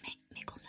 没没功能。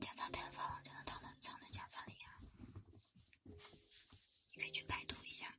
假发戴了发网就能藏在藏在假发里呀，你可以去百度一下。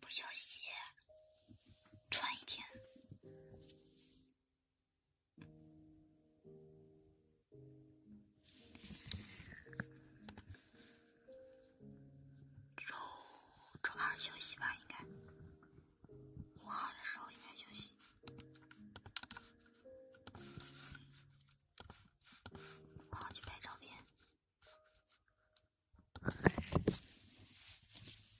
不消鞋，穿一天。周周二休息吧，应该五号的时候应该休息。我好去拍照片。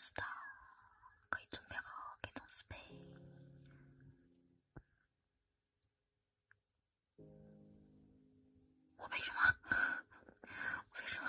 是的，可以准备好，给到斯贝。我为什么？为什么？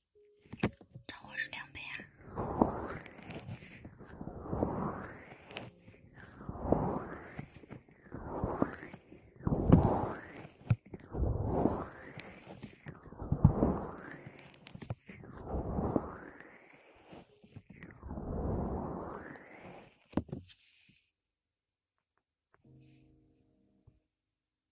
涨货是两倍啊！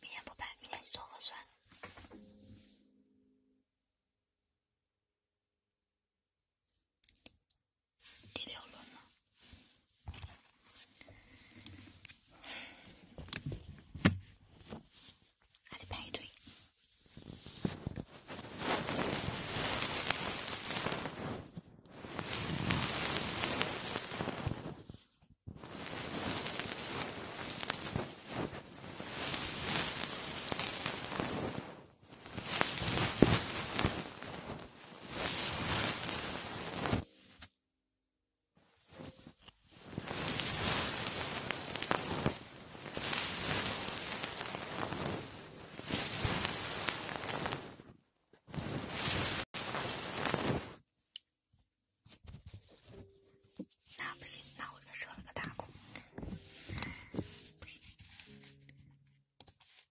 明天不拍，明天去做核酸。第六轮了。还得排队。那不行，那我就设了个大空，不行。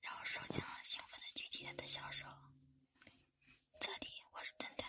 然后，手枪兴奋地举起他的小手：“这里，我是侦探。”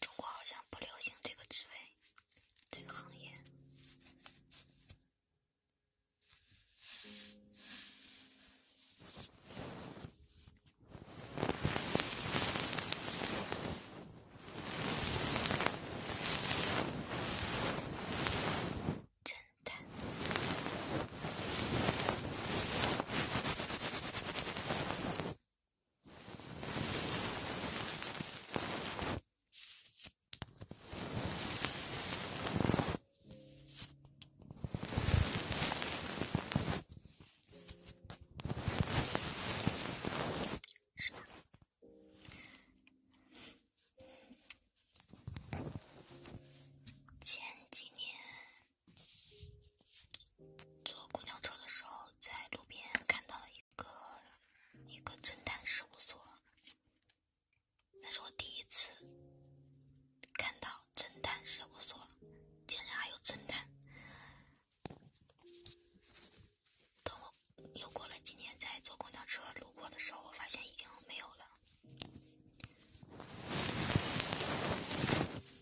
中国好像不流行这个职位，这个行业。侦探。是吧？前几年。坐公交车的时候，在路边看到了一个一个侦探事务所，那是我第一次看到侦探事务所，竟然还有侦探。等我又过了几年，在坐公交车路过的时候，我发现已经没有了。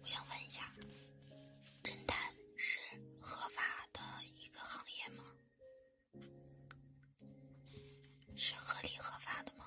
我想问一下，侦探是合法的一个行业吗？是合理合法的吗？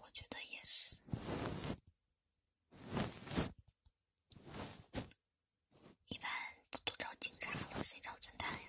我觉得也是，一般都找警察了，谁找侦探呀？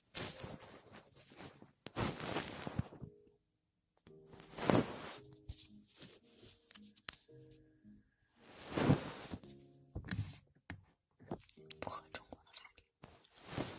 不合中国的法律。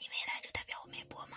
你没来就代表我没播吗？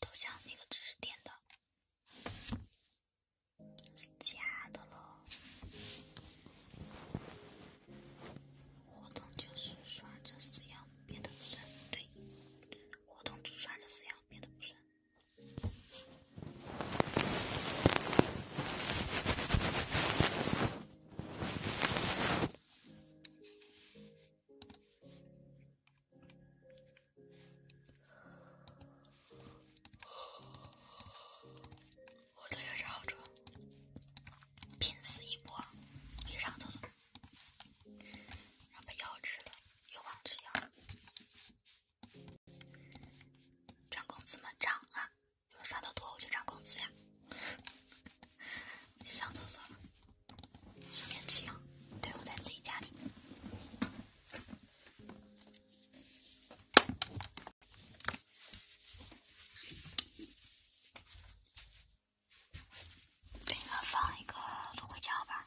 头像那个知识点的，假的了。活动就是刷这四样别的不算，对。活动只刷这四样别的不算。我都有啥好处？拼死一波，去上厕所，然后把药吃了，又忘吃药。涨工资么涨啊？你们刷的多，我就涨工资呀！上厕所了，别这样。对，我在自己家里。给你们放一个芦荟胶吧。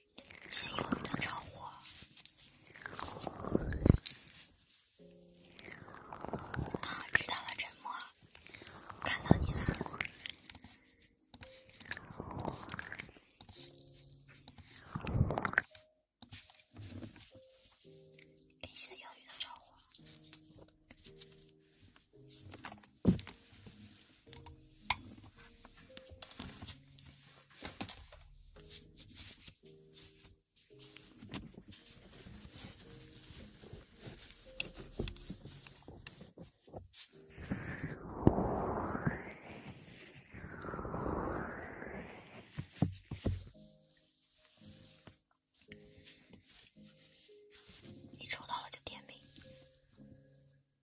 先养鱼的着火啊！知道了，沉默，我看到你了。感谢养鱼的着火。你抽到了就点名。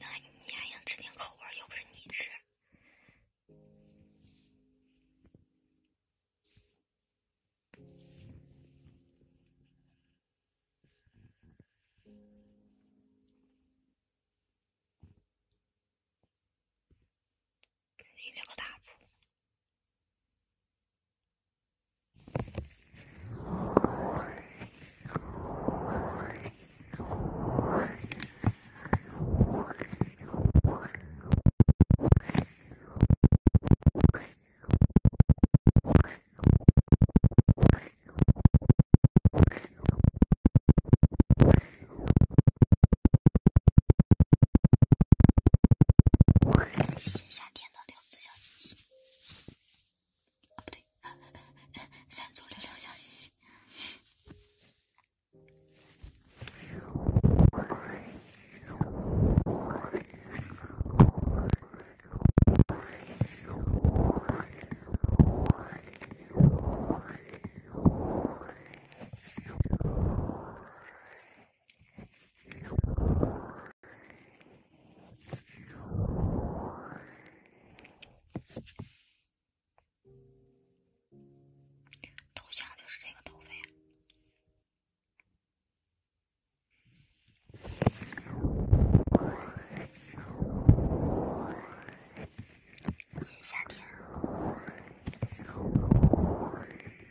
那你还想吃点口味又不是你吃，你这个大夏天的料。小星星，啊不对，三组流量小星星。头像就是这个头像。夏天。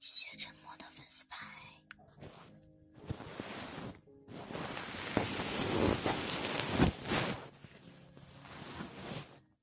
谢谢沉默的粉丝牌。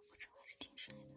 我这还是挺帅的。